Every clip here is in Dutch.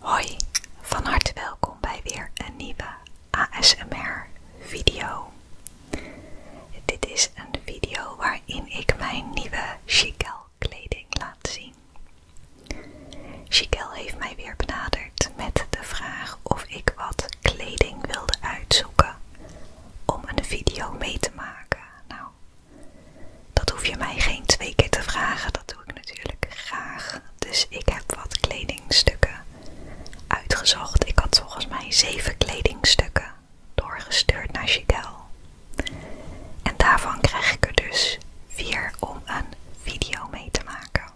Hoi, van harte welkom bij weer een nieuwe ASMR video. Dit is een video waarin ik mijn nieuwe chicel kleding laat zien. Chicel heeft mij weer benaderd met de vraag of ik wat kleding wilde uitzoeken om een video mee te maken. Nou, dat hoef je mij geen twee keer te vragen, dat doe ik natuurlijk graag. Dus ik heb wat kledingstukken uitgezocht. Ik had volgens mij zeven kledingstukken doorgestuurd naar Chiquel. En daarvan krijg ik er dus vier om een video mee te maken.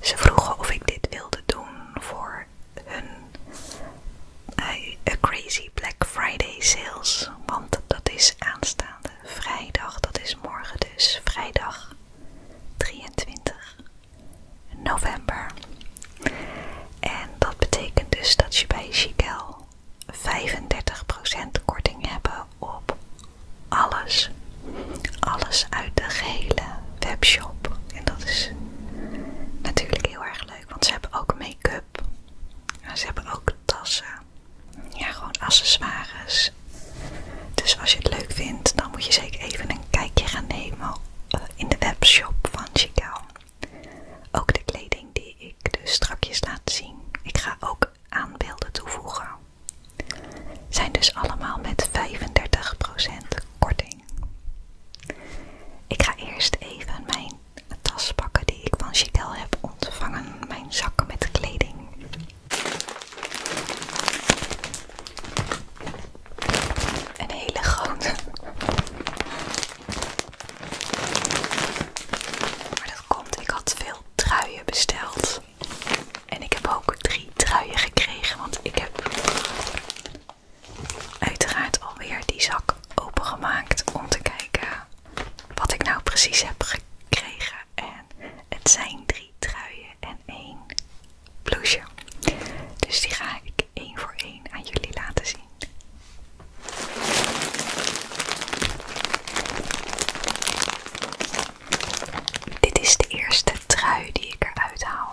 Ze vroegen of ik dit wilde doen voor hun een crazy Black Friday sales. Want dat is aanstaande vrijdag, dat is morgen dus, vrijdag 23 november. En dat betekent dus dat je bij Chiquel 35% korting hebt op alles. Alles uit de gehele webshop. En dat is natuurlijk heel erg leuk want ze hebben ook make-up. Ze hebben ook tassen. Ja, gewoon accessoires. Dus als je het leuk vindt, dan moet je zeker even een kijkje gaan nemen eh, in de webshop van Chicago. Ook de kleding die ik dus strakjes laat zien. Ik ga ook aanbeelden toevoegen. Zijn dus allemaal met 35% korting. Ik ga eerst even mijn tas pakken die ik van Chiquel heb ontvangen. Mijn zak met kleding. Een hele grote. Maar dat komt, ik had veel truien besteld. En ik heb ook drie truien gekregen, want ik heb uiteraard alweer die zak opengemaakt om te kijken wat ik nou precies heb gekregen. En het zijn drie truien en één blouseje. Dus die ga ik één voor één aan jullie laten zien. Dit is de eerste trui die ik eruit haal.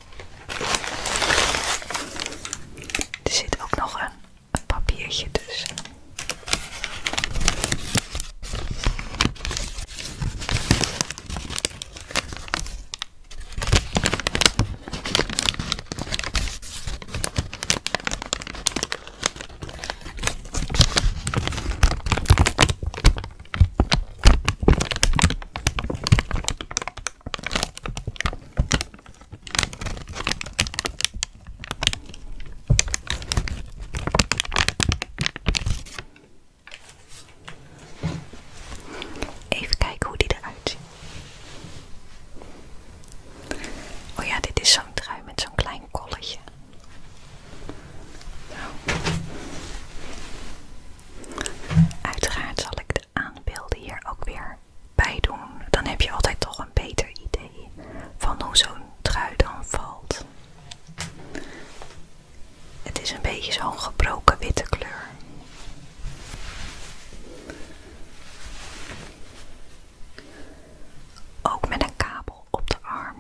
Er zit ook nog een, papiertje tussen. Even kijken hoe die eruit ziet. Oh ja, dit is zo'n trui met zo'n klein kolletje. Nou. Uiteraard zal ik de aanbeelden hier ook weer bij doen. Dan heb je altijd toch een beter idee van hoe zo'n trui dan valt. Het is een beetje zo'n gebroken witte kleur. Ook met een kabel op de arm.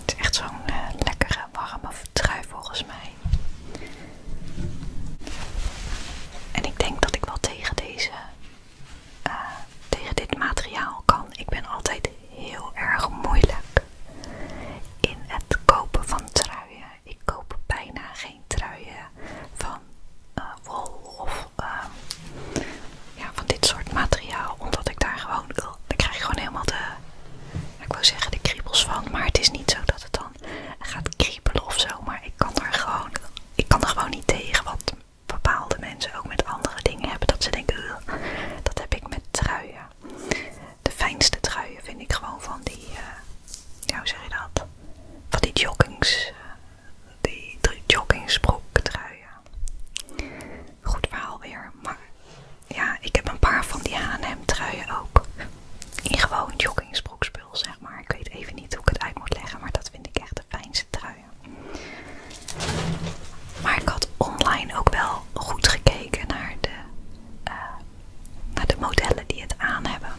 Het is echt zo'n eh, lekkere warme trui volgens mij. En ik denk dat ik wel tegen deze, eh, tegen dit materiaal kan. Ik ben altijd heel erg moeilijk in het kopen van truien. Ik koop bijna geen truien van eh, wol of eh, van dit soort materiaal. Omdat ik daar gewoon, ik krijg gewoon helemaal de, ik wil zeggen de kriebels van. Maar het is niet zo dat het dan gaat kriebelen ofzo. Maar ik kan er gewoon, ik kan er gewoon niet tegen. wat bepaalde mensen ook met andere dingen hebben dat ze denken, dat heb ik met truien. De fijnste truien vind ik gewoon van die, eh, ja, hoe zeg je dat? Van die joggings, eh, die joggingsbroek truien. Goed verhaal weer. Maar ja, ik heb een paar van die H&M truien ook. In gewoon joggingsbroekspul, zeg maar. Ik weet even niet hoe ik het uit moet leggen, maar dat vind ik echt de fijnste truien. Maar ik had online ook wel goed gekeken naar de, eh, naar de modellen die het aan hebben.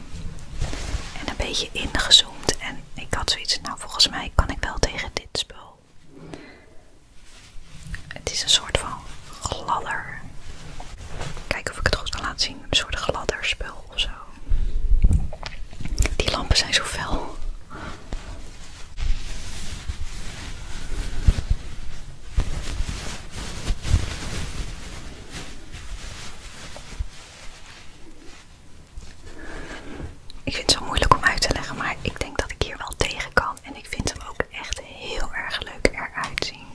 En een beetje ingezoomd. En ik had zoiets, nou volgens mij kan ik wel tegen dit spul het is een soort van gladder. Kijken of ik het goed kan laten zien. Een soort gladder spul of zo. Die lampen zijn zo fel. Ik vind het zo moeilijk om uit te leggen, maar ik denk dat ik hier wel tegen kan. En ik vind hem ook echt heel erg leuk eruit zien.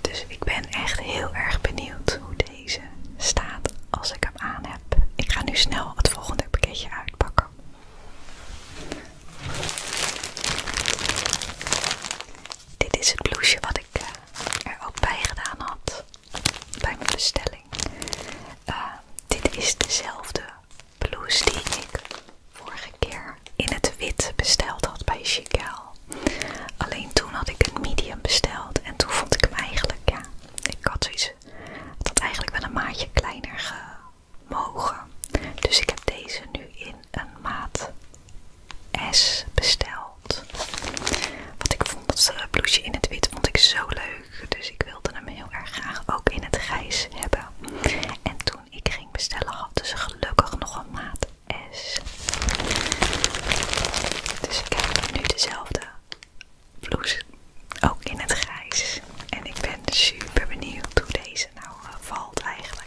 Dus ik ben echt heel erg benieuwd hoe deze staat als ik hem aan heb. Ik ga nu snel het volgende pakketje uitpakken. Dit is het blouseje wat ik eh, er ook bij gedaan had bij mijn bestelling. Eh, dit is dezelfde blouse die ik vorige keer in het wit besteld had bij Chicago. Alleen toen had ik een medium besteld en toen vond ik hem eigenlijk, ja, ik had zoiets, het eigenlijk wel een maatje kleiner gemogen. Dus ik heb deze nu in een maat S besteld. Wat ik vond dat eh, blouseje in het wit vond ik zo leuk. Dus ik wilde hem heel erg graag ook in het grijs hebben. En toen ik ging bestellen hadden ze gelukkig nog een maat S. Dus ik heb nu dezelfde blouse ook in het grijs. En ik ben super benieuwd hoe deze nou eh, valt eigenlijk.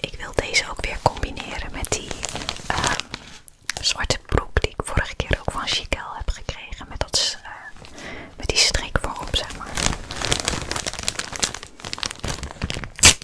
Ik wil deze ook weer combineren met die ehm, zwarte broek die ik vorige keer ook van Chiquel heb gekregen. Met, dat, eh, met die strik voorop, zeg maar.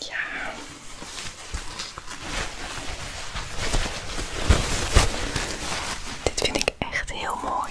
Ja. Dit vind ik echt heel mooi.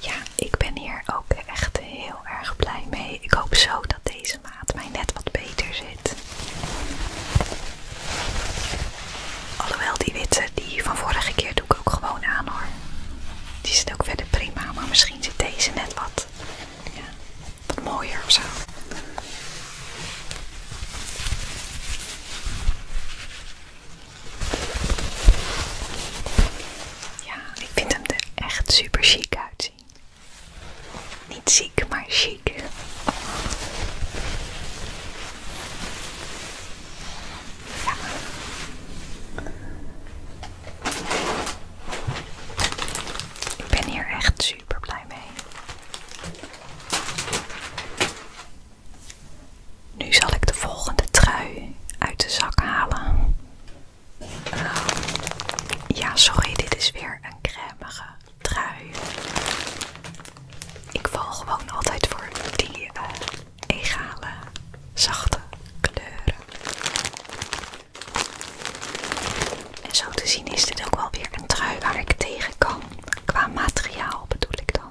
Ja, ik ben hier ook echt heel erg blij mee. Ik hoop zo dat deze maat mij net wat beter zit. Alhoewel die witte, die van vorige keer doe ik ook gewoon aan hoor. Die zit ook verder prima, maar misschien zit deze net wat, mooier of zo. Ja, ik vind hem er echt super chic uitzien. Niet ziek, maar chic. Ik ben hier echt super blij mee. Nu zal ik de volgende trui uit de zak halen. Ja, sorry, dit is weer een crèmige trui. Ik val gewoon altijd voor die eh, egale, zachte kleuren. En zo te zien is dit ook wel weer een trui waar ik tegen kan. Qua materiaal bedoel ik dan.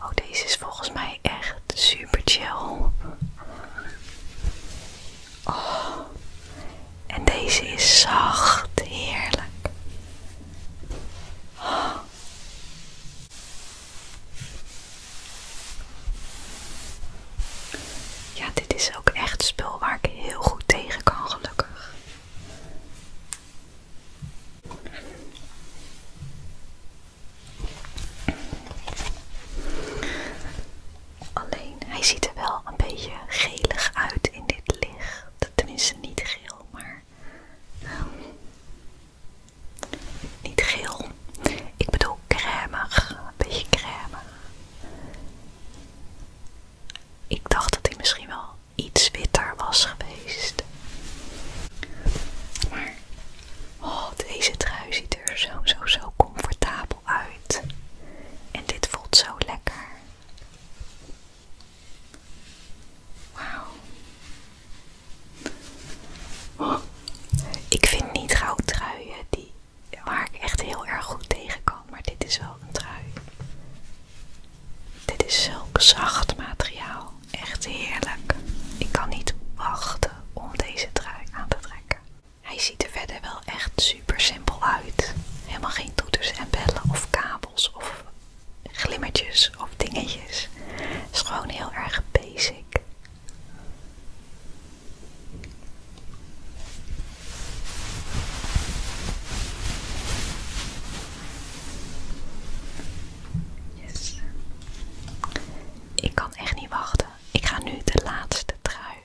Oh, deze is volgens mij echt super chill. Oh. En deze is zacht, heerlijk. Ja, dit is ook echt spul waar ik heel goed tegen kan, gelukkig. Alleen hij ziet er wel een beetje gelig uit in dit licht. Tenminste, niet geel, maar. Ehm, niet geel. Ik bedoel crèmig. Een beetje crème. Ik dacht dat hij misschien wel iets witter was geweest. Maar Oh, deze trui ziet er zo, zo, zo comfortabel uit. En dit voelt zo lekker. Wauw. Oh, ik vind niet gauw truien die, waar ik echt heel erg goed tegen kan. Maar dit is wel een trui. Dit is zulk zacht materiaal. Echt heerlijk. Ik kan niet wachten om deze trui aan te trekken. Hij ziet er verder wel echt super simpel uit. Helemaal geen toeters en bellen of kabels of glimmertjes of dingetjes. Het is gewoon heel erg basic. Yes. Ik kan echt niet wachten ik ga nu de laatste trui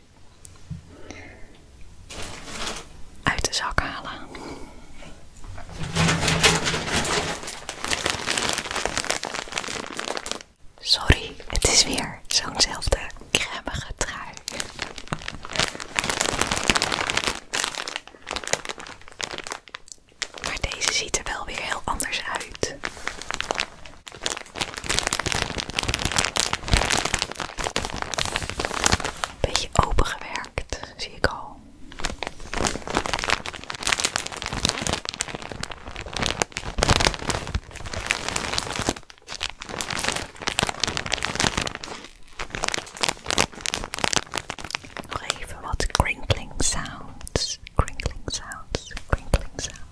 uit de zak halen. Sorry, het is weer zo'nzelfde kremige trui. Maar deze ziet er wel weer heel anders uit. Beetje opengewerkt, zie ik al. Nog even wat crinkling sounds, crinkling sounds, crinkling sounds.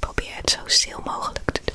Probeer het zo stil mogelijk te doen.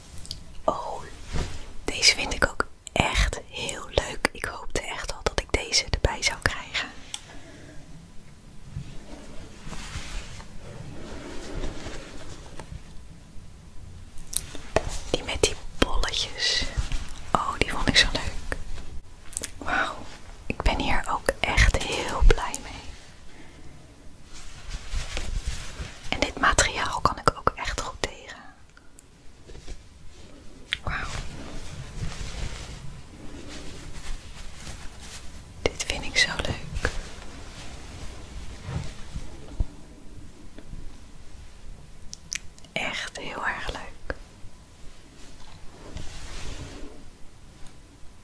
Oh, deze vind ik ook echt heel leuk. Ik hoopte echt al dat ik deze erbij zou krijgen. Die met die bolletjes. Oh, die vond ik zo leuk. Wauw, ik ben hier ook echt heel blij mee. En dit materiaal kan ik ook echt goed tegen. Wauw. Dit vind ik zo leuk. Echt heel erg leuk.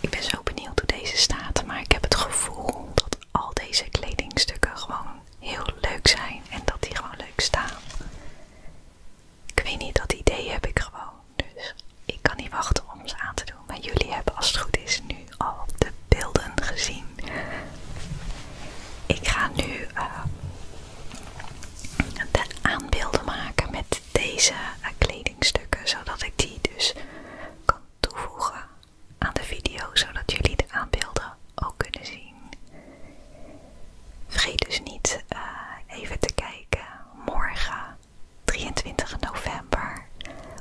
Ik ben zo benieuwd hoe deze staat, maar ik heb het gevoel dat al deze kledingstukken gewoon heel leuk zijn en dat die gewoon leuk staan. Ik weet niet, dat idee heb ik gewoon. Dus ik kan niet wachten om ze aan te doen. Maar jullie hebben als het goed is nu al de beelden gezien. Ik ga nu eh, de aanbeelden maken met deze eh, kledingstukken. Zodat ik die dus kan toevoegen aan de video. Zodat jullie de aanbeelden ook kunnen zien. Vergeet dus niet eh, even te kijken morgen 23 november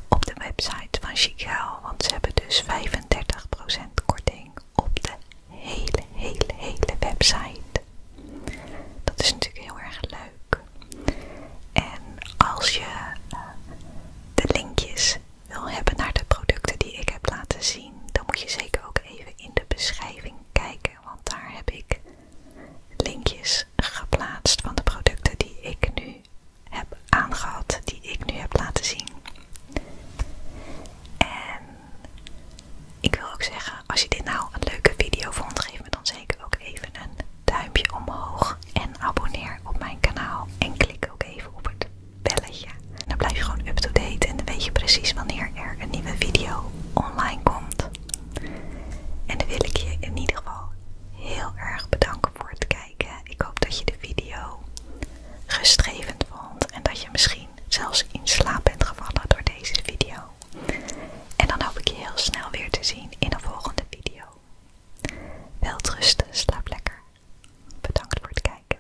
op de website van Chicago, want ze hebben dus 35% korting op de hele, hele, hele website. Dat is natuurlijk heel erg leuk. En als je eh, de linkjes wil hebben naar de producten die ik heb laten zien, dan moet je zeker ook even in de beschrijving kijken want daar heb ik linkjes geplaatst van de producten die ik nu heb aangehad, die ik nu heb laten zien. En ik wil ook zeggen, als je dit nou een leuke video vond, geef me dan zeker ook even een duimpje omhoog en abonneer op mijn kanaal en klik ook even op het belletje. Dan blijf je gewoon up-to-date en dan weet je precies wanneer er een nieuwe video online komt. En dan wil ik je in ieder geval heel erg bedanken voor het kijken. Ik hoop dat je de video gestrevend vond en dat je misschien zelfs in slaap bent gevallen door deze video. En dan hoop ik je heel snel weer te zien in een volgende video. Welterusten, slaap lekker. Bedankt voor het kijken.